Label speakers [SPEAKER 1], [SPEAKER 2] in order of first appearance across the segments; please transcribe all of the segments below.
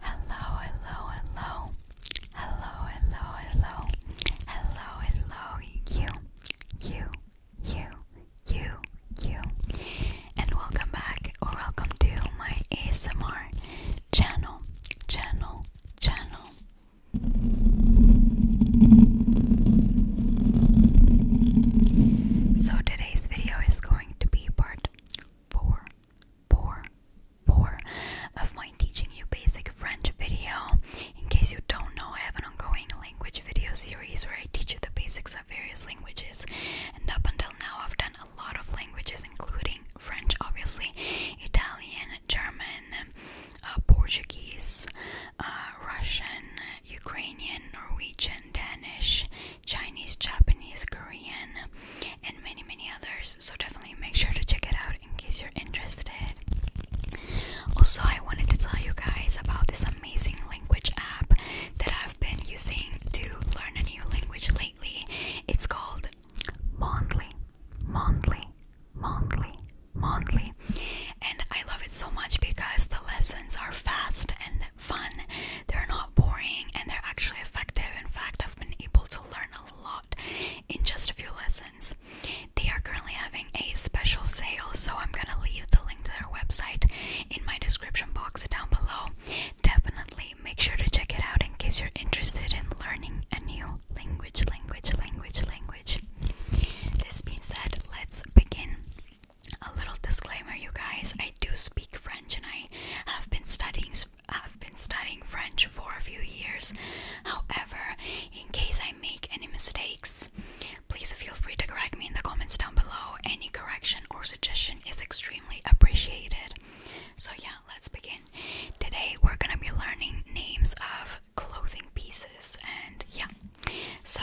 [SPEAKER 1] Hello, hello, hello. Hello, hello, hello. Hello, hello, you, you, you, you, you. And welcome back or welcome to my ASMR channel, channel, channel. So today's video is going to be part four, four, four of my teaching you basic French video. In case you don't know, I have an ongoing language video series where I teach you the basics of various languages. And up until now, I've done a lot of languages, including French, obviously, Italian, German, uh, Portuguese, uh, Russian, Ukrainian, Norwegian, Danish, Chinese, Japanese, Korean, and many, many others. So definitely make sure to check it out in case you're interested. Also, I wanted to tell you guys about this amazing language app that I've been using to learn a new language lately. It's called Mondly, Mondly, Mondly, Mondly, and I love it so much because the lessons are fast and fun, they're not boring, and they're actually effective. In fact, I've been able to learn a lot in just a few lessons. They are currently having a special sale, so I'm gonna leave the link to their website in my description box down below. Definitely make sure to check it out in case you're interested in learning a new language, language, language, language. This being said, let's begin a little disclaimer, you guys. I do speak French, and I have been studying. I've been studying French for a few years. However, in case I make any mistakes, please feel free to correct me in the comments down below. Any correction or suggestion is extremely appreciated. So yeah, let's begin. Today we're gonna be learning names of clothing pieces, and yeah. So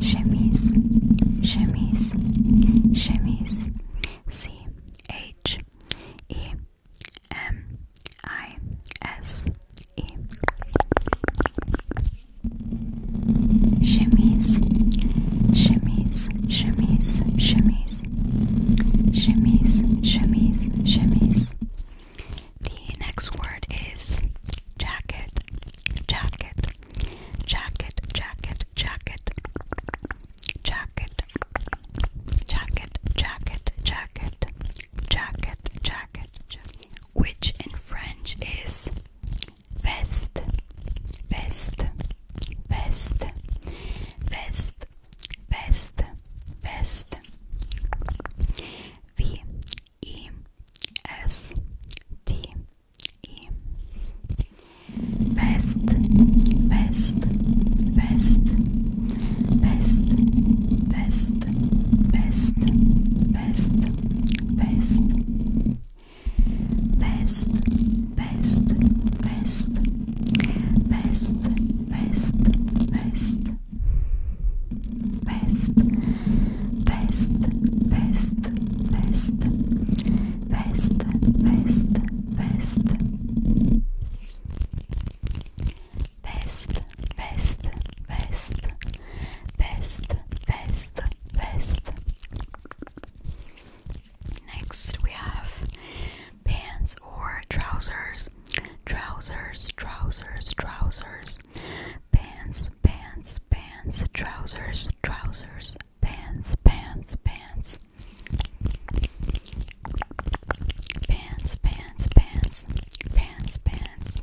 [SPEAKER 1] chemise, chemise, chemise, C H E M I S E. Chemise, chemise, chemise, chemise, chemise, chemise, chemise. The next word is jacket, jacket, jacket, jacket, jacket, jacket, jacket, jacket, jacket, jacket, jacket, which in French is vest, vest, vest, vest, vest, vest. V E S T E Best Best Best Best Best Best Best Best Best Best Best Best Best Best Best, best, best, best, best, best, best, best, best, best, best, Next we have pants or trousers, trousers, trousers, trousers trousers pants pants pants trousers trousers pants pants pants pants pants pants pants pants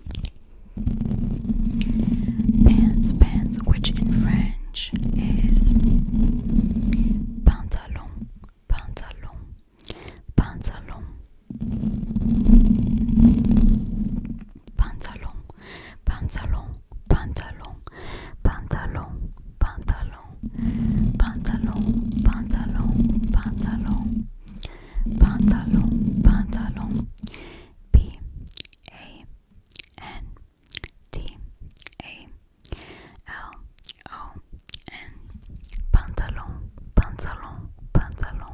[SPEAKER 1] pants pants which in French is pantalon pantalon pantalon pantalon, pantalon, pantalon, pantalon, pantalon, pantalon, pantalon, pantalon, pantalon, pantalon, p a n t a l o n pantalon, pantalon, pantalon. Pantalon,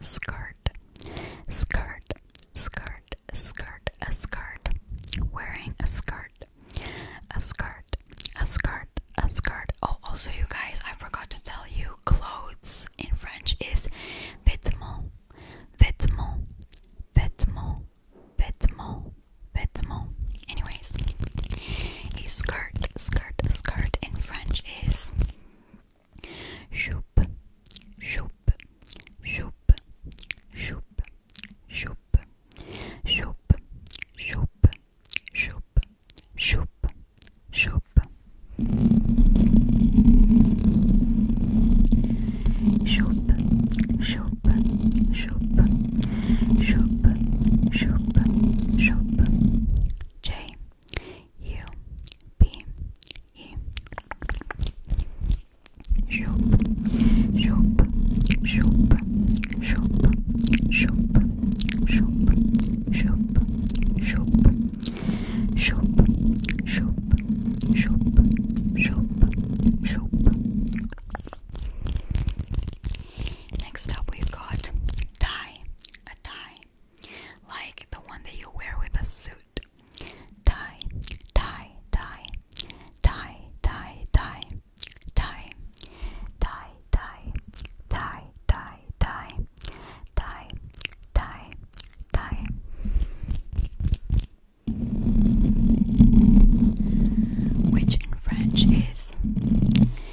[SPEAKER 1] skirt, skirt, skirt, skirt, skirt, a skirt, wearing a skirt, a skirt, a skirt, a skirt. Oh, also, you guys, I forgot to tell you, clothes in French is vêtements, vêtements, vêtements, vêtements, vêtements. Anyways, a skirt, skirt, skirt in French is Shoop, shoop, shoop, shoop, shoop, shoop, shoop, shoop, shoop, shoop, shoop, shoop, shoop, shoop, shoop, shoop, J. U B E Shoop Shoop Shoop Shoop Shoop Shoop Shoop Shoop Shoop Shoop Shoop Shoop Shoop Next up we've got tie tie, like the one that you wear with a suit. Tie, tie, tie, tie, tie, tie, tie, tie, tie, tie, tie, tie, tie, tie, tie. Which in French is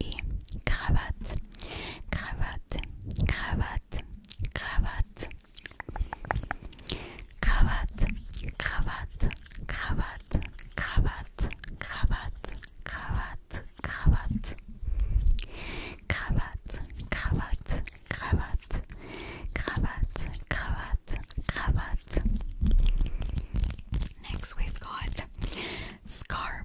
[SPEAKER 1] et cravate, cravate, cravate, cravate, cravate, cravate, cravate, cravate, cravate, cravate, cravate, cravate, cravate, cravate, cravate, cravate, cravate. Next, we've got scarf,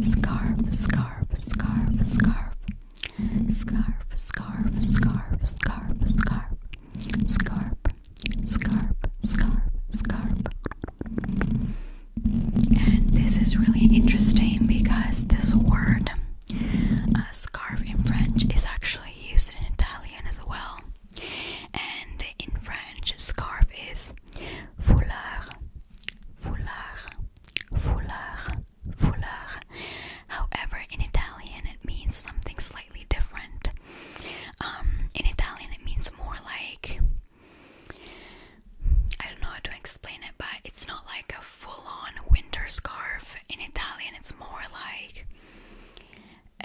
[SPEAKER 1] Scarf, scarf, scarf, scarf. Scarf, scarf, scarf, scarf, scarf. Scarf, scarf, scarf, scarf. And this is really interesting because this word, uh, scarf in French, is actually used in Italian as well. And in French, scarf is foulard, foulard, foulard, foulard. However, in Italian it means something slightly different. Um, in Italian it means more like I don't know how to explain it, but it's not like a full-on winter scarf. In Italian, it's more like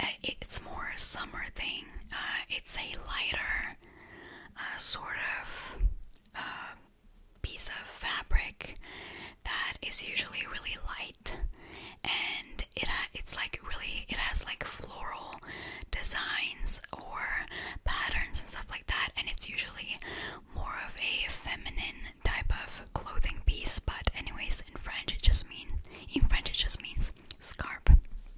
[SPEAKER 1] uh, it's more a summer thing. Uh, it's a lighter uh, sort of uh, piece of fabric that is usually really light and it it's like really it has like floral designs or patterns and stuff like that and it's usually more of a feminine type of clothing piece but anyways in French it just means in French it just means scarf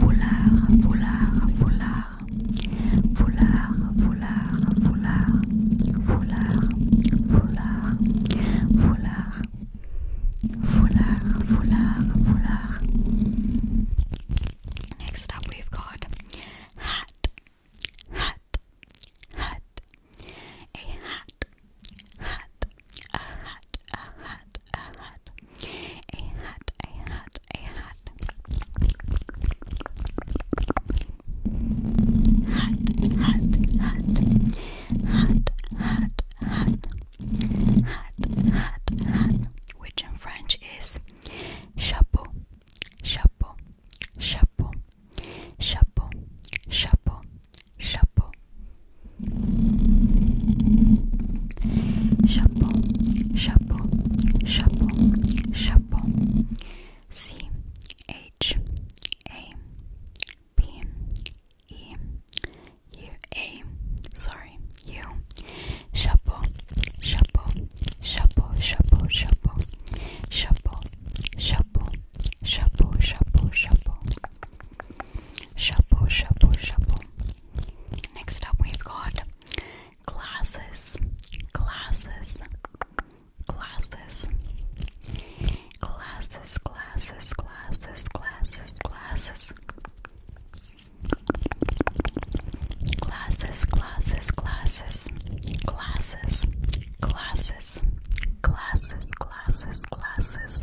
[SPEAKER 1] Foulard, foulard, foulard. Foulard, foulard, foulard. Foulard, foulard, foulard. Foulard, foulard, foulard. Next up we've got hat. Hat. Hat. A hat hat, a hat, a hat, a hat, a hat, a hat, a hat, hat, hat, hat, hat, hat, hat, hat, hat, which in French is chapeau, chapeau, chapeau, chapeau, chapeau, chapeau chapeau chapeau chapeau chapeau c h a p e u a sorry u chapeau chapeau chapeau chapeau chapeau chapeau chapeau chapeau chapeau chapeau Chapeau, chapeau, chapeau. Next up, we've got glasses, glasses, glasses, glasses, glasses, glasses, glasses, glasses. Glasses, glasses, glasses, glasses, glasses, glasses, glasses, glasses,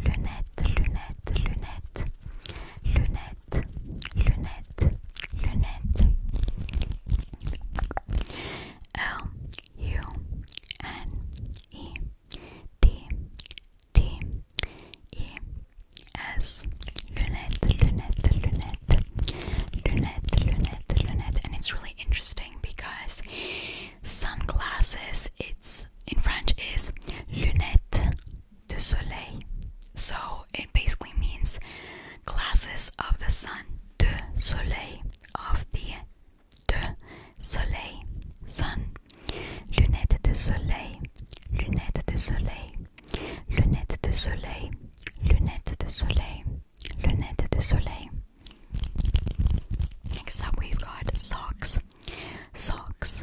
[SPEAKER 1] lunettes, lunettes, lunettes, lunettes, lunettes, lunettes, lunettes. lunette, lunette, lunette, lunette, lunette, lunette, and it's really interesting because sunglasses. It's in French is lunettes de soleil. So it basically means glasses of the sun, de soleil, of the de soleil, sun. Lunettes de soleil, lunettes de soleil, lunettes de soleil, lunettes de soleil, lunettes de soleil. Next up, we've got socks. Socks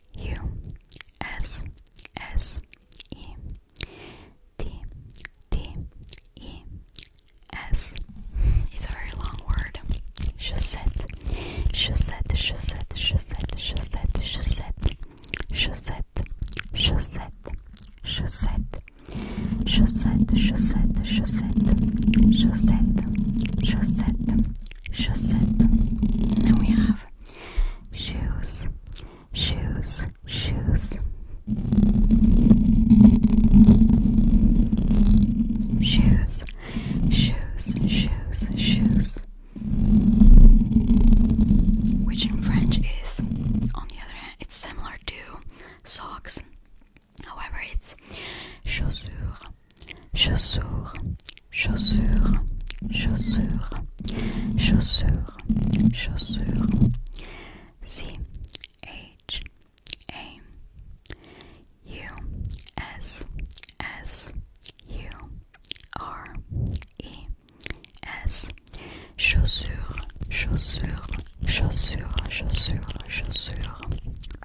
[SPEAKER 1] U S S E T T E S. It's a very long word. Chaussette, chaussette, chaussette, chaussette, chaussette, chaussette, chaussette, chaussette, chaussette, chaussette, chaussette, chaussette, chaussette, chaussette chaussette. Then we have shoes, shoes, shoes, shoes, shoes, shoes, shoes. Which in French is, on the other hand, it's similar to socks. However, it's chaussures. chaussures, chaussures, chaussures, chaussures, chaussures. C H A U S S U R E S chaussures, chaussures, chaussures, chaussures, chaussures.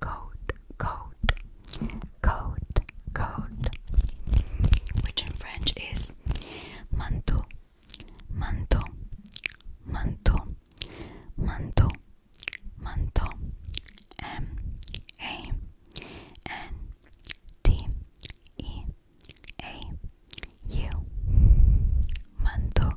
[SPEAKER 1] coat, coat, coat, coat, which in French is manteau, manteau, manteau, manteau, manteau, M A N T E A U, manteau,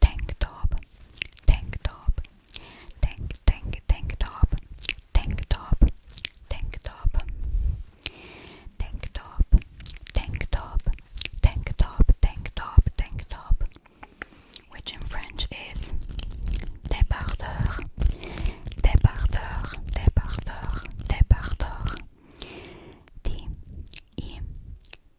[SPEAKER 1] tank top, tank top, tank, tank, tank top, tank top, tank top, tank top, tank top, tank top, tank top, tank top, which in French is débardeur, débardeur, débardeur, débardeur. D E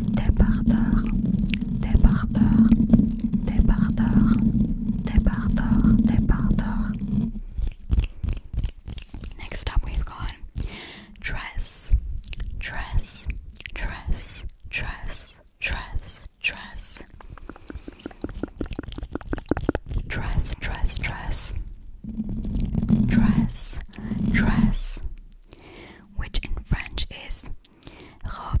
[SPEAKER 1] débardeur, débardeur, débardeur, débardeur, débardeur. Next up, we've got dress, dress, dress, dress, dress, dress, dress, dress, dress, dress, dress, which in French is robe,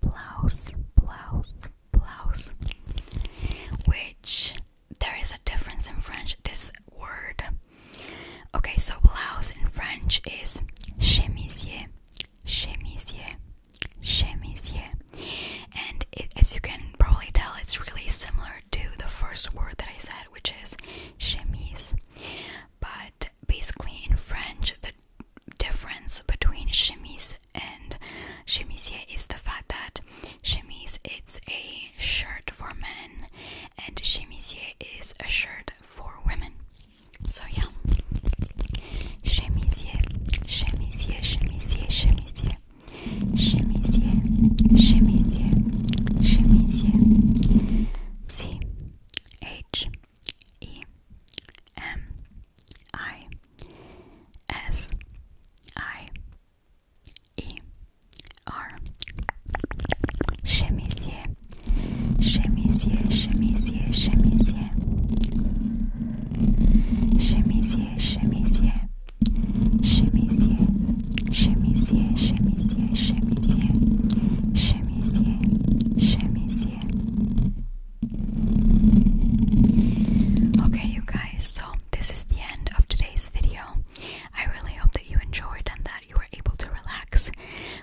[SPEAKER 1] blouse, blouse, blouse, which there is a difference in French. This word, okay, so blouse in French is chemisier, chemisier, chemisier, and as you can probably tell, it's really similar to the first word that I said, which is chemise, but basically in French, the difference between chemise and chemisier is the fact that chemise it's a shirt for men and chemisier is a shirt for women. So yeah. Chemisier, chemisier, chemisier, chemisier. Chemisier, chemisier, chemisier. C H E M I S I E R Chemisier, chemisier, chemisier, chemisier, chemisier, chemisier, chemisier, chemisier, chemisier, chemisier, chemisier, Okay, you guys, so this is the end of today's video. I really hope that you enjoyed and that you were able to relax.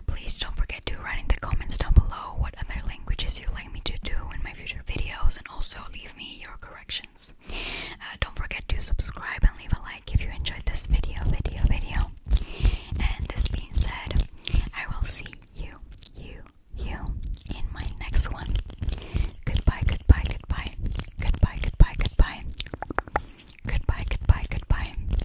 [SPEAKER 1] Please don't forget to write in the comments down below what other languages you'd like me to do in my future videos and also leave me your corrections. Uh, don't forget to subscribe and leave a like if you enjoyed this video, video, video. And this being said, I will see you, you, you in my next one. Goodbye, goodbye, goodbye. Goodbye, goodbye, goodbye. Goodbye, goodbye, goodbye.